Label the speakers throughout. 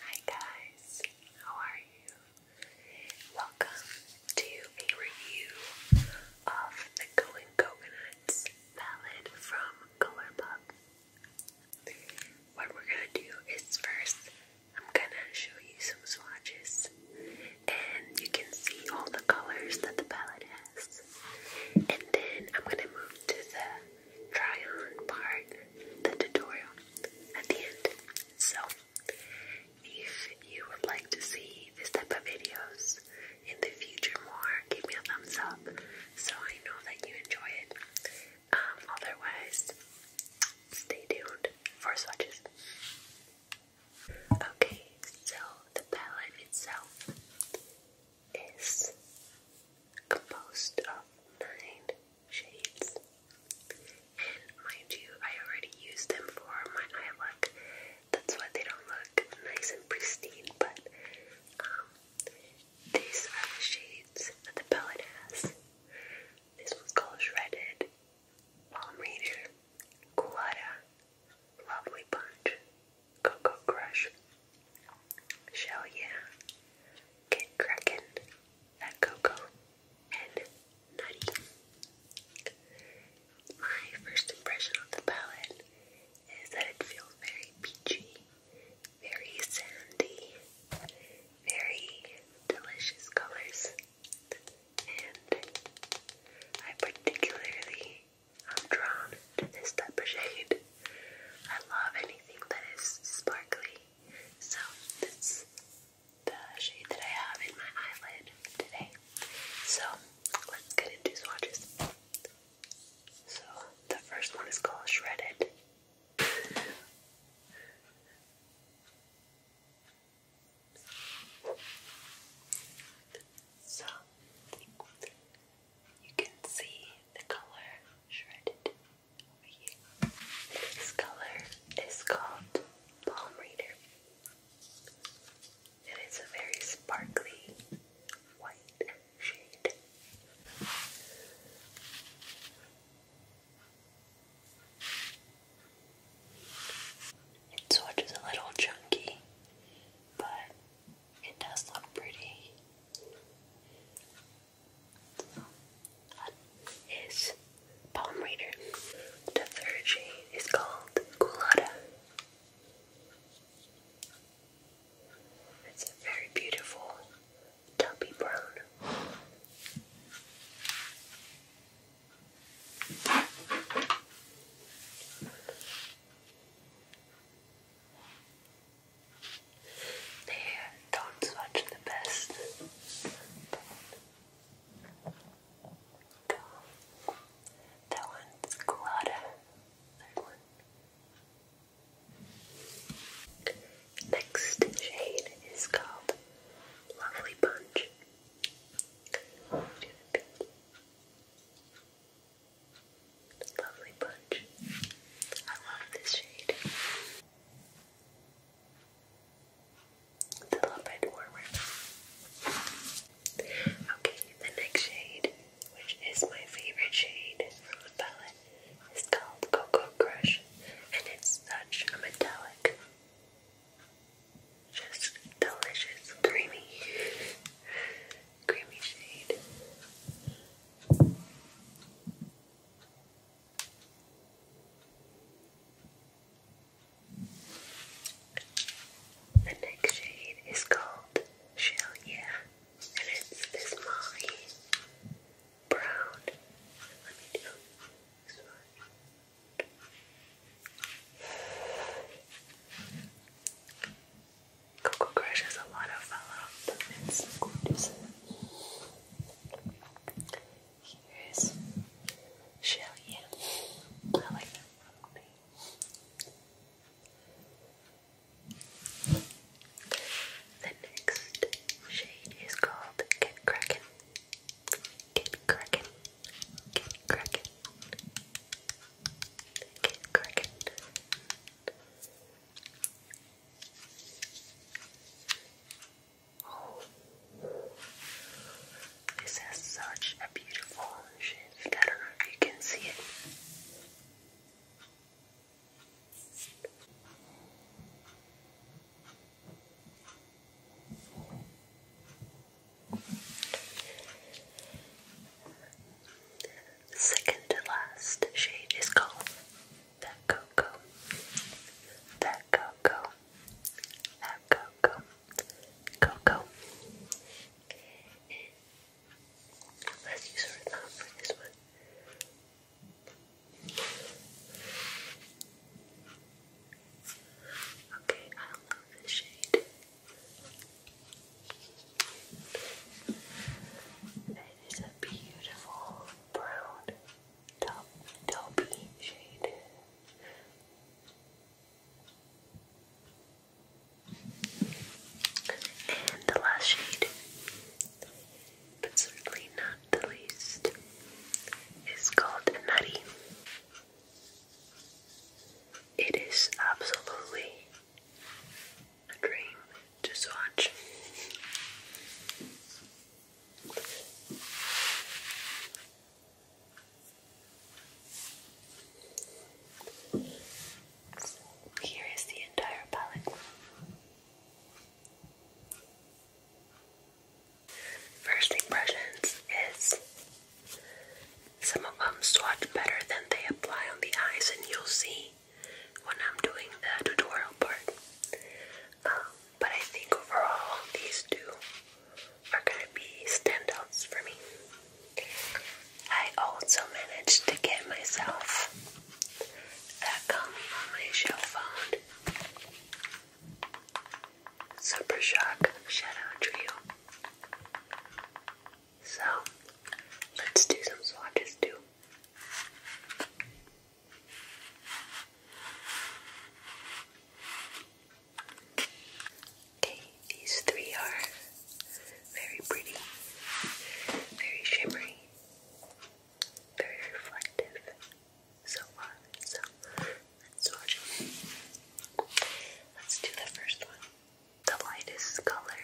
Speaker 1: Hi guys, how are you? Welcome to a review of the Going Coconuts palette from Colourpop. What we're gonna do is first, I'm gonna show you some swatches and you can see all the colors that the palette has this. And then I'm gonna move to the try on part, the tutorial at the end. So if you would like to see this type of videos in the future more, give me a thumbs up so I know that you enjoy it. Um, otherwise, stay tuned for swatches. Okay, so the palette itself is composed of nine shades. And mind you, I already used them for my eye look. That's why they don't look nice and pristine, but um, these are the shades that the palette has. This one's called Shredded, Palm Reader, Culotta, Lovely Punch, Cocoa Crush, Shell Yeah, Kid Kraken, That Cocoa, and Nutty. My first impression of the palette is that it feels very peachy, very sandy, very delicious colors, and I particularly I'm drawn to this type of shade. I love anything that is sparkly. So that's the shade that I have in my eyelid today. So let's get into swatches. So the first one is called Shredded. So you can see the color shredded over here. This color is called Palm Reader. It is a very sparkly white shade. It swatches a little chunky, but it does look pretty. So, Palm Reader. The third shade is called Culotta. It's a very beautiful tubby brown. There, don't watch the best. That one's Colada. Third one. Next shade is called Lovely Punch. Do the pink. Lovely punch. I love this shade. It's a little bit warmer. Okay, the next shade, which is my favorite shade from the palette, is called Cocoa Crush, and it's such a metallic, just delicious, creamy creamy shade. The next shade is called Shell Yeah, and it's this molly brown. Coco Crush has a lot of fun. the gorgeous. Here's Shelly. I like that probably. The next shade is called Get Kraken. Get Kraken. Get Kraken. Thank you, Oh, this has such a beautiful shift. I don't know if you can see it second to last shade is called That Cocoa. That Cocoa. That Cocoa. Cocoa. let's use our thumb for this one. Okay, I love this shade. It is a beautiful brown top taupey shade. And the last shade, but certainly not the least, is called Nutty. It is absolutely a dream to swatch. Here is the entire palette. First impressions is some of them swatch better than they apply on the eyes, and you'll see when I'm doing the tutorial part. Um, but I think overall, these two are gonna be standouts for me. I also managed to get myself that come on my shelf phone. Super Shock Shadow Trio. So let's do some swatches too. Okay, these three are very pretty, very shimmery, very reflective so far. So let Let's do the first one. The lightest color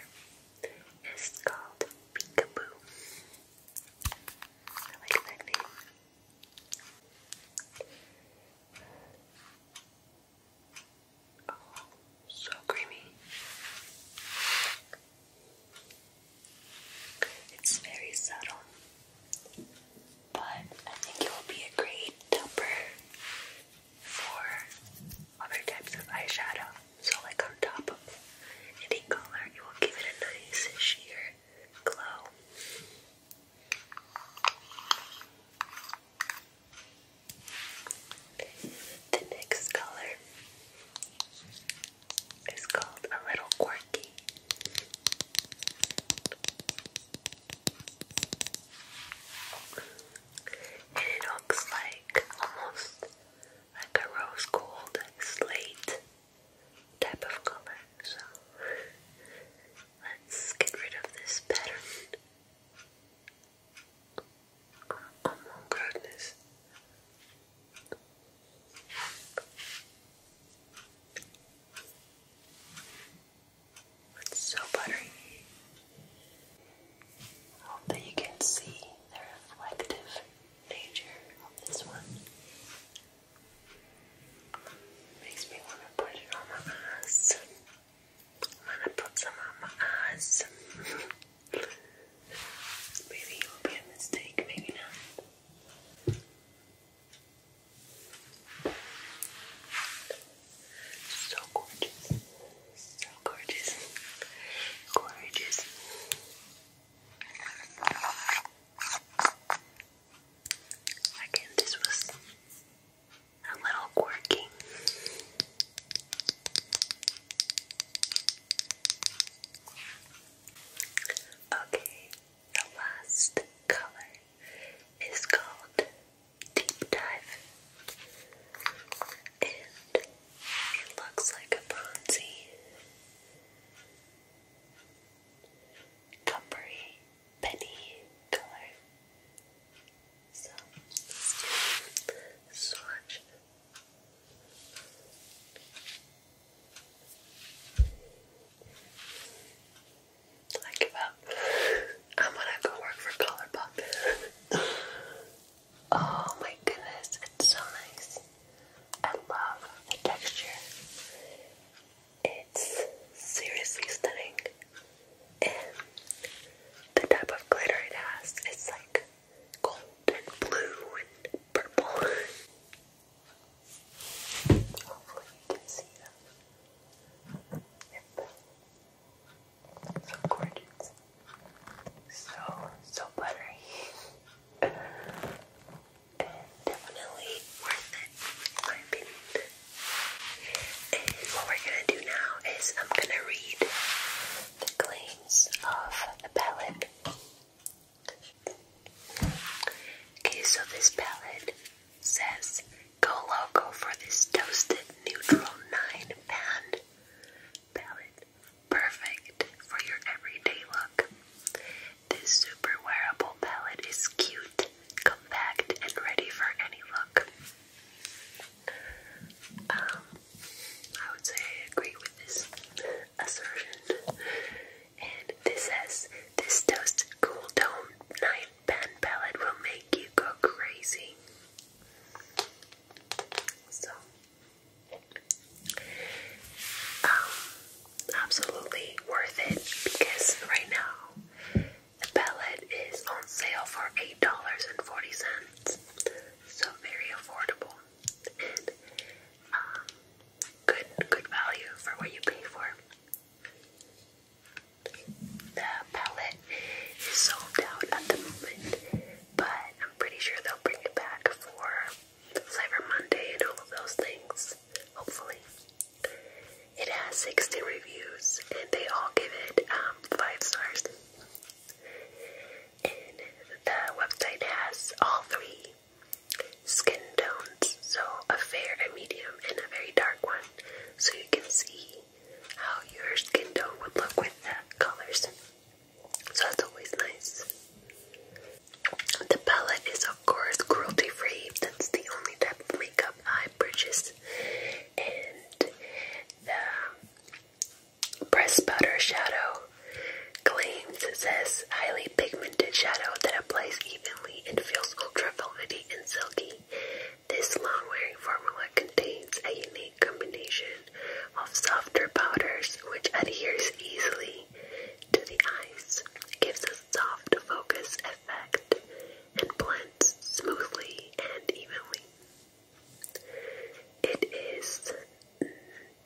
Speaker 1: is called peekaboo. I like that name. Oh, so creamy. It's very subtle, but I think it will be a great topper for other types of eyeshadow. So like on top of any color, you will give it a nice sheer glow. The next color is called a little quirky and it looks like almost like a rose gold slate type of color. So let's get rid of this pattern. Oh, my goodness. so buttery. Hope that you can see the reflective nature of this one. Makes me want to put it on my eyes. i to put some on my eyes. maybe it will be a mistake, maybe not. So gorgeous. So gorgeous. Gorgeous. Again, this was a little quirky. Okay, the last color is called deep dive, it looks like a bronzy, coppery penny color. So let's do swatch. I give up. I'm gonna go work for Colourpop. Oh my goodness, it's so nice. I love the texture. It's seriously stunning. And the type of glitter it has, it's like gold and blue and purple. Hopefully you can see them. Yep. So gorgeous. So, so buttery. and definitely worth it, in my opinion. And what we're gonna do now is I'm gonna read the claims of the palette. Okay, so this palette says, Go loco for this toasted neutral nine pan." palette, perfect for your everyday look. This super wearable palette is cute, compact, and ready for any look. Um, I would say I agree with this assertion. And this says, this toasted Cool Tone 9 Pan Palette will make you go crazy. So, um, absolutely worth it because right now the palette is on sale for $8.40. So, very affordable and um, good, good value for what you pay for. The palette it's sold out at the moment, but I'm pretty sure they'll bring it back for Cyber Monday and all of those things, hopefully. It has 60 reviews, and they all give it um, 5 stars. And the website has all three skin tones so a fair, a medium, and a very dark one. So you can see how your skin tone would look with that colors. So that's always nice. The palette is of course cruelty free. That's the only type of makeup I purchase. And the press powder shadow claims it says highly pigmented shadow that applies evenly and feels ultra velvety and silky. This long-wearing formula contains a unique combination of softer powders which adheres easily to the eyes, gives a soft focus effect, and blends smoothly and evenly. It is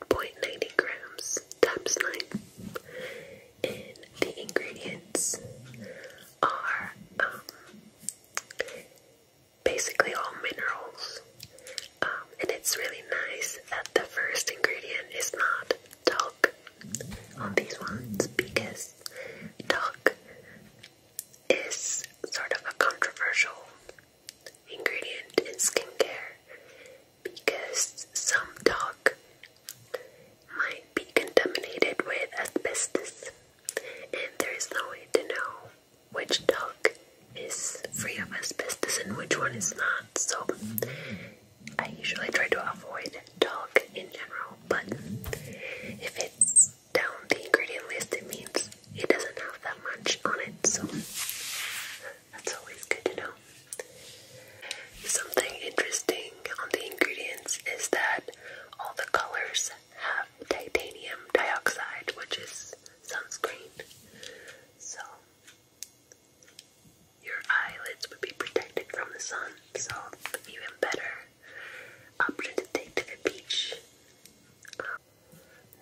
Speaker 1: 0.90 grams times 9. the ingredients are um, basically all minerals. Um, and it's really nice that the first ingredient is not talc on these ones because talc is sort of a controversial ingredient in skincare because some talc might be contaminated with asbestos and there is no way to know which dog is free of asbestos and which one is not. So I usually try to avoid dog in general, but if it's down the ingredient list, it means it doesn't have that much on it, so that's always good to know. Something interesting on the ingredients is that all the colors have titanium dioxide, which is sunscreen. So your eyelids would be protected from the sun, so even better option to take to the beach.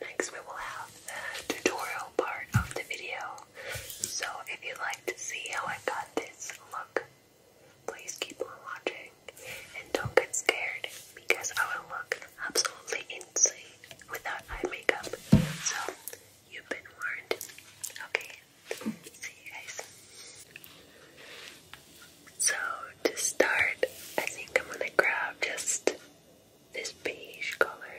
Speaker 1: Next, we will have the tutorial part of the video. So if you'd like to see how I got this look, please keep on watching. And don't get scared because I will look absolutely insane without eye makeup. So, you've been warned. Okay, see you guys. So, to start, I think I'm gonna grab just this beige color.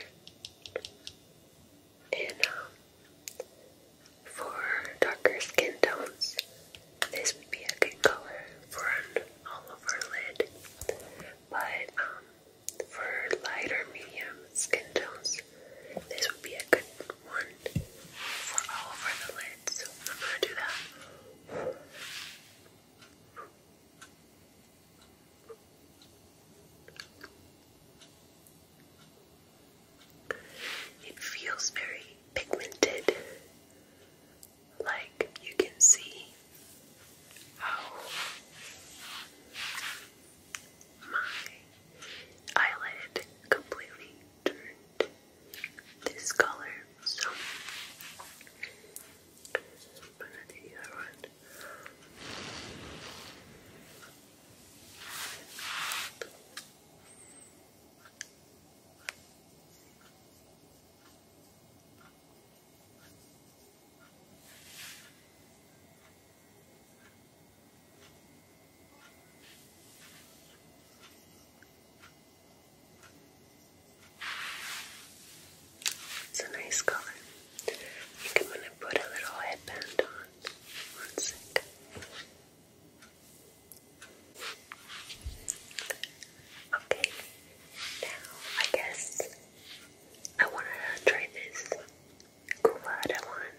Speaker 1: And um, for darker skin tones, this would be a good color for all-over lid, but um, for lighter medium skin tones, this would be a good one for all over the lid. I'm gonna do that. It feels very pigmented like you can see how my eyelid completely turned this color. So I'm gonna do the other one. It's a nice color. I am gonna put a little headband on. One sec. Okay, now I guess I want to try this Kuvada one.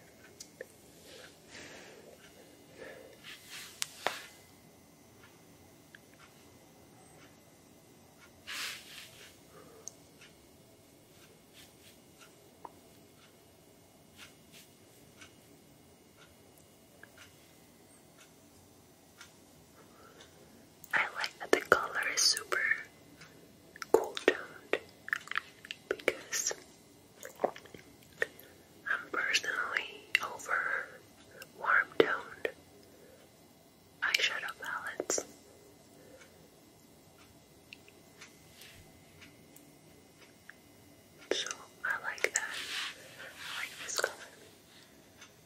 Speaker 1: I like that the color is super cool toned because I'm personally over warm toned eyeshadow palettes. So I like that. I like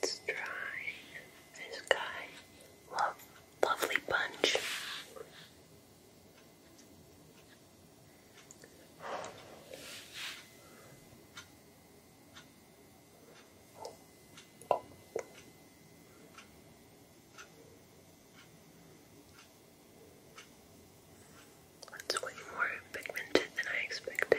Speaker 1: Let's try this guy. Love, lovely bunch. That's way more pigmented than I expected.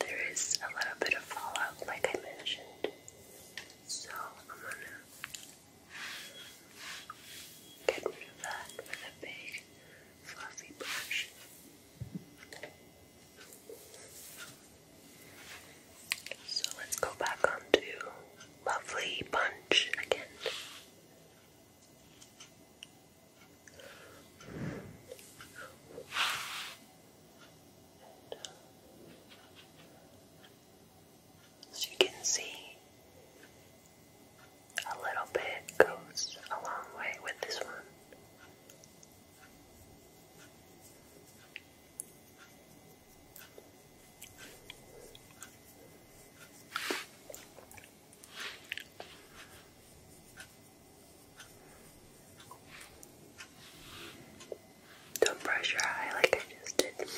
Speaker 1: There is a little bit of fallout, like I mentioned, so I'm gonna get rid of that with a big fluffy brush. So let's go back onto lovely punch again. As you can see, a little bit goes a long way with this one. Don't brush your eye like I just did.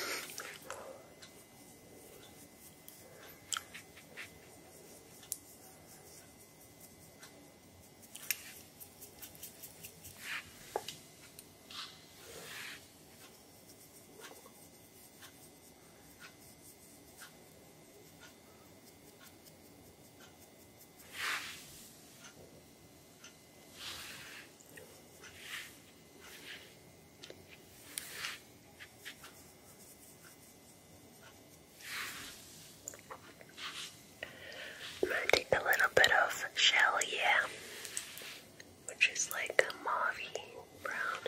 Speaker 1: I'm going to take a little bit of shell, which is like a mauvey brown.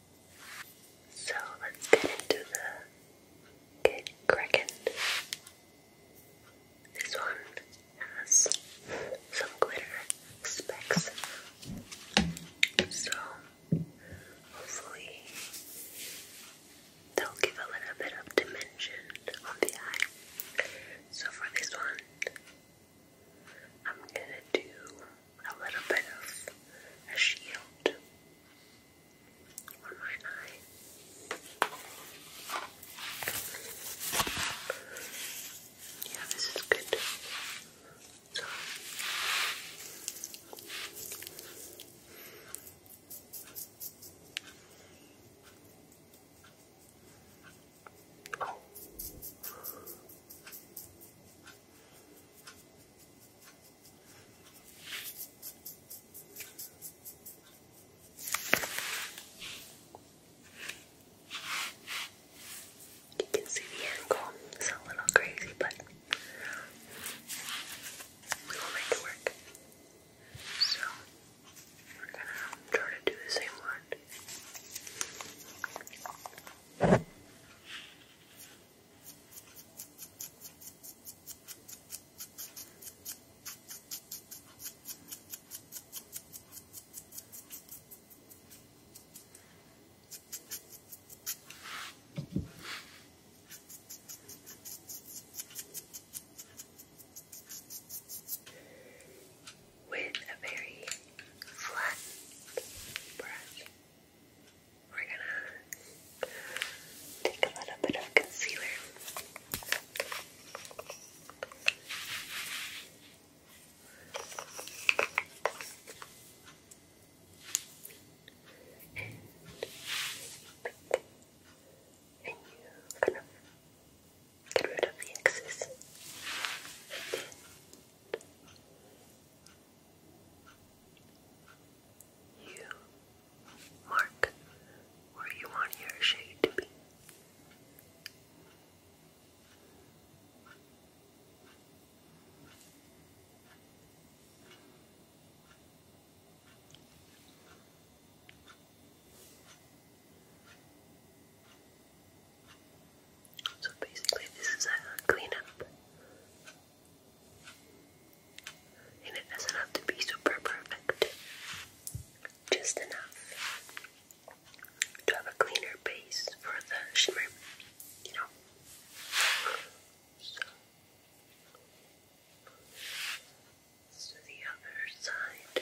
Speaker 1: So let's get into the Kid Kraken. This one has some glitter specks. So hopefully they'll give a little bit of dimension on the eye. So for this one, I'm gonna do a little bit of a shield on my eye. Yeah, this is good. So you can see the angle. It's a little crazy, but we will make it work. So we're gonna try to do the same one. With a very flat brush, we're gonna take a little bit of concealer. And you kind of get rid of the excess. You mark where you want your shade to be. So basically, this is a cleanup and it doesn't have to be super perfect, just enough to have a cleaner base for the shimmer, you know. So, the other side.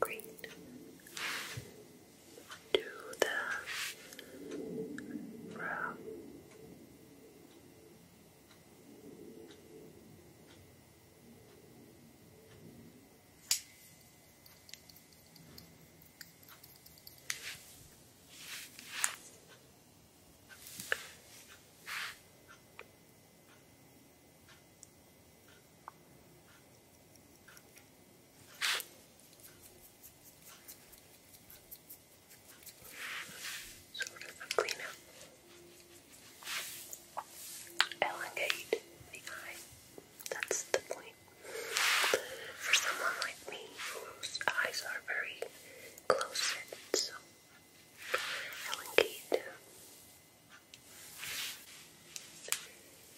Speaker 1: Great. Do the brow. Sort of a cleanup. Elongate the eye. That's the point for someone like me whose eyes are very close in. So, Helen Kate,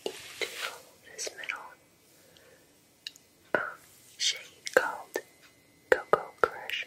Speaker 1: into this middle um, shade called Coco Crush.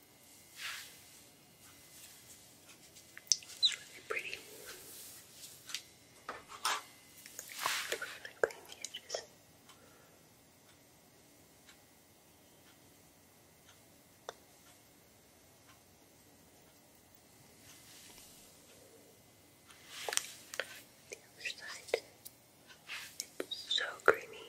Speaker 1: It's really pretty. Perfectly the edges. The other side. It's so creamy.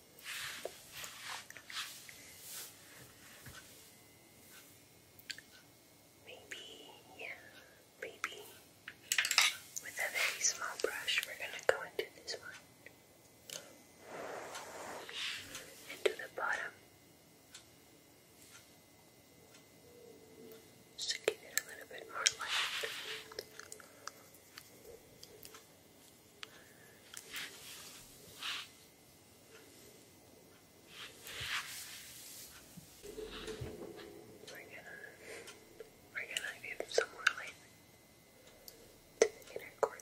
Speaker 1: Maybe, yeah, maybe with a very small brush, we're going to go into this one, into the bottom. Just to give it a little bit more light. We're gonna, we're gonna give some more light to the corner.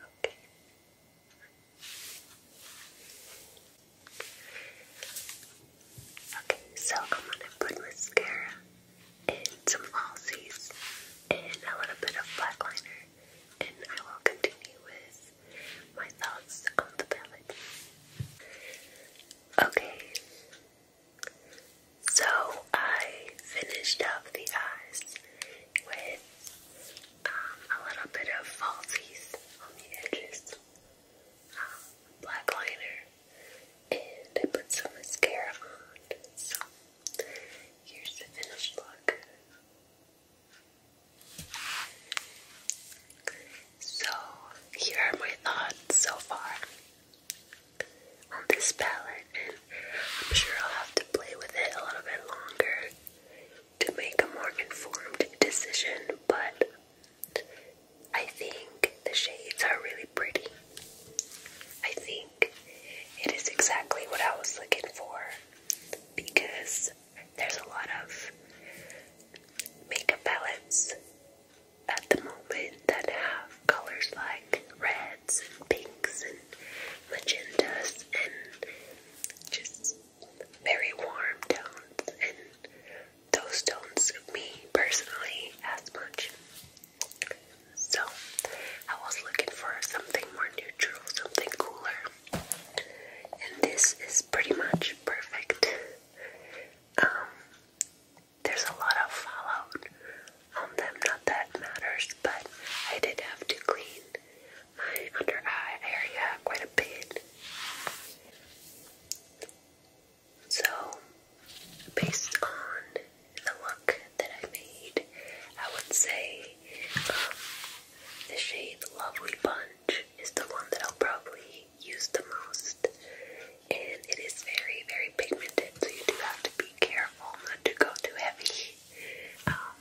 Speaker 1: Okay. Okay, so I'm gonna put mascara and some falsies and a little bit of black liner, and I will continue with my thoughts on the palette. Okay, so I finished up the eyes with um, a little bit of falsies on the edges, um, black liner, and I put some mascara on. So here's the finished look. So here are my thoughts so far on this palette, and I'm sure I'll have to play with it a little bit longer to make a more informed decision, but I think the shades are really pretty. I think it is exactly what I was looking for because there's a lot of makeup palettes at the moment that have colors like reds and pinks and magentas and just very warm tones and those don't suit me personally as much. So, I was looking for something more neutral, something cooler, and this is pretty much perfect. Um, there's a lot of fallout on them, not that matters, but I did have to clean my under eye area quite a bit. So, based on the look that I made, I would say um, the shade Lovely Punch is the one that I'll probably use the most. And it is very, very pigmented, so you do have to be careful not to go too heavy. Um,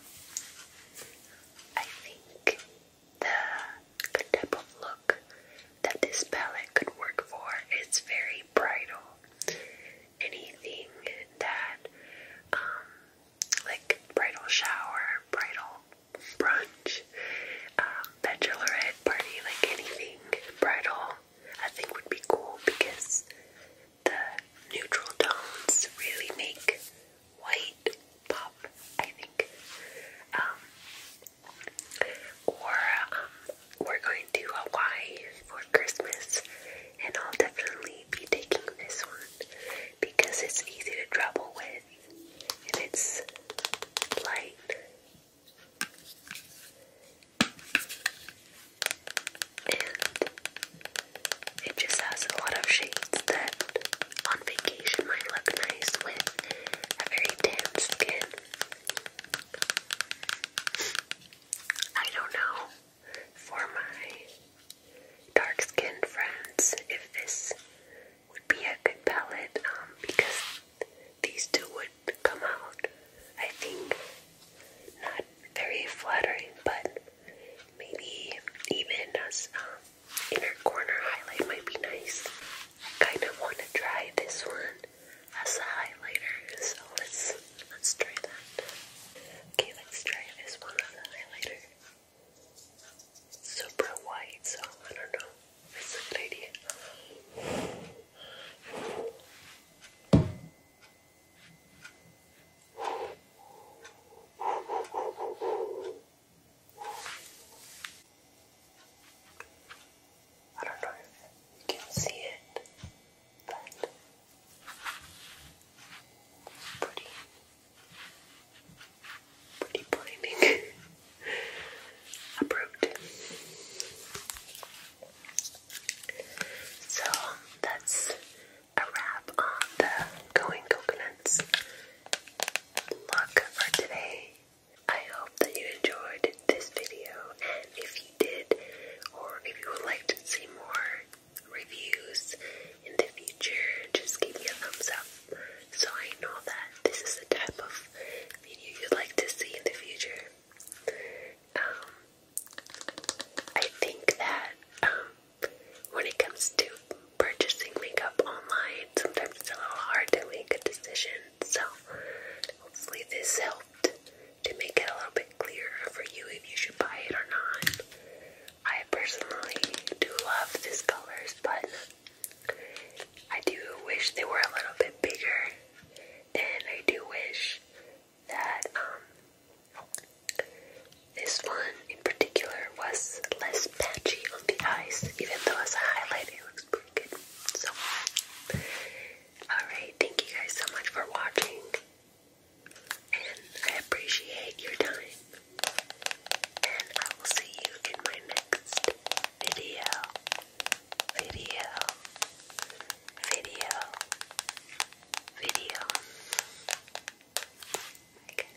Speaker 1: I think the type of look that this palette could work for is very any anything that, um, like bridal shower, bridal brunch, um, bachelorette party, like anything bridal, I think would be cool because the neutral tones really make white pop, I think. Um, or um, we're going to Hawaii for Christmas, and I'll definitely be taking this one because it's easy to travel with and it's light. And it just has a lot of shades that on vacation might look nice with a very tan skin. I don't know for my dark skinned friends if this would be a good palette um, because these two would come out, I think, not very flattering, but maybe even as um, inner corner highlight might be nice. kind of want to try this one as a highlighter, so let's let's try that. Okay, let's try this one as a highlighter. super white, so I don't know. It's a good I don't know if you can see it, but pretty, pretty blinding. Approved. So that's a wrap on the going coconuts look for today. I hope that you enjoyed this video, and if you did, or if you would like to see more reviews in the future, just give me a thumbs up so I know that this is the type of video you'd like to see in the future. Um, I think that um, when it comes to purchasing makeup online, sometimes it's a little hard to make a decision so hopefully this helped to make it a little bit clearer for you if you should buy it or not. I personally do love these colors, but I do wish they were a little bit bigger, and I do wish that um, this one in particular was less patchy on the eyes, even though as a highlight it looks pretty good. So Alright, thank you guys so much for watching. And I appreciate your time. And I will see you in my next video. Video. Video. Video. Okay.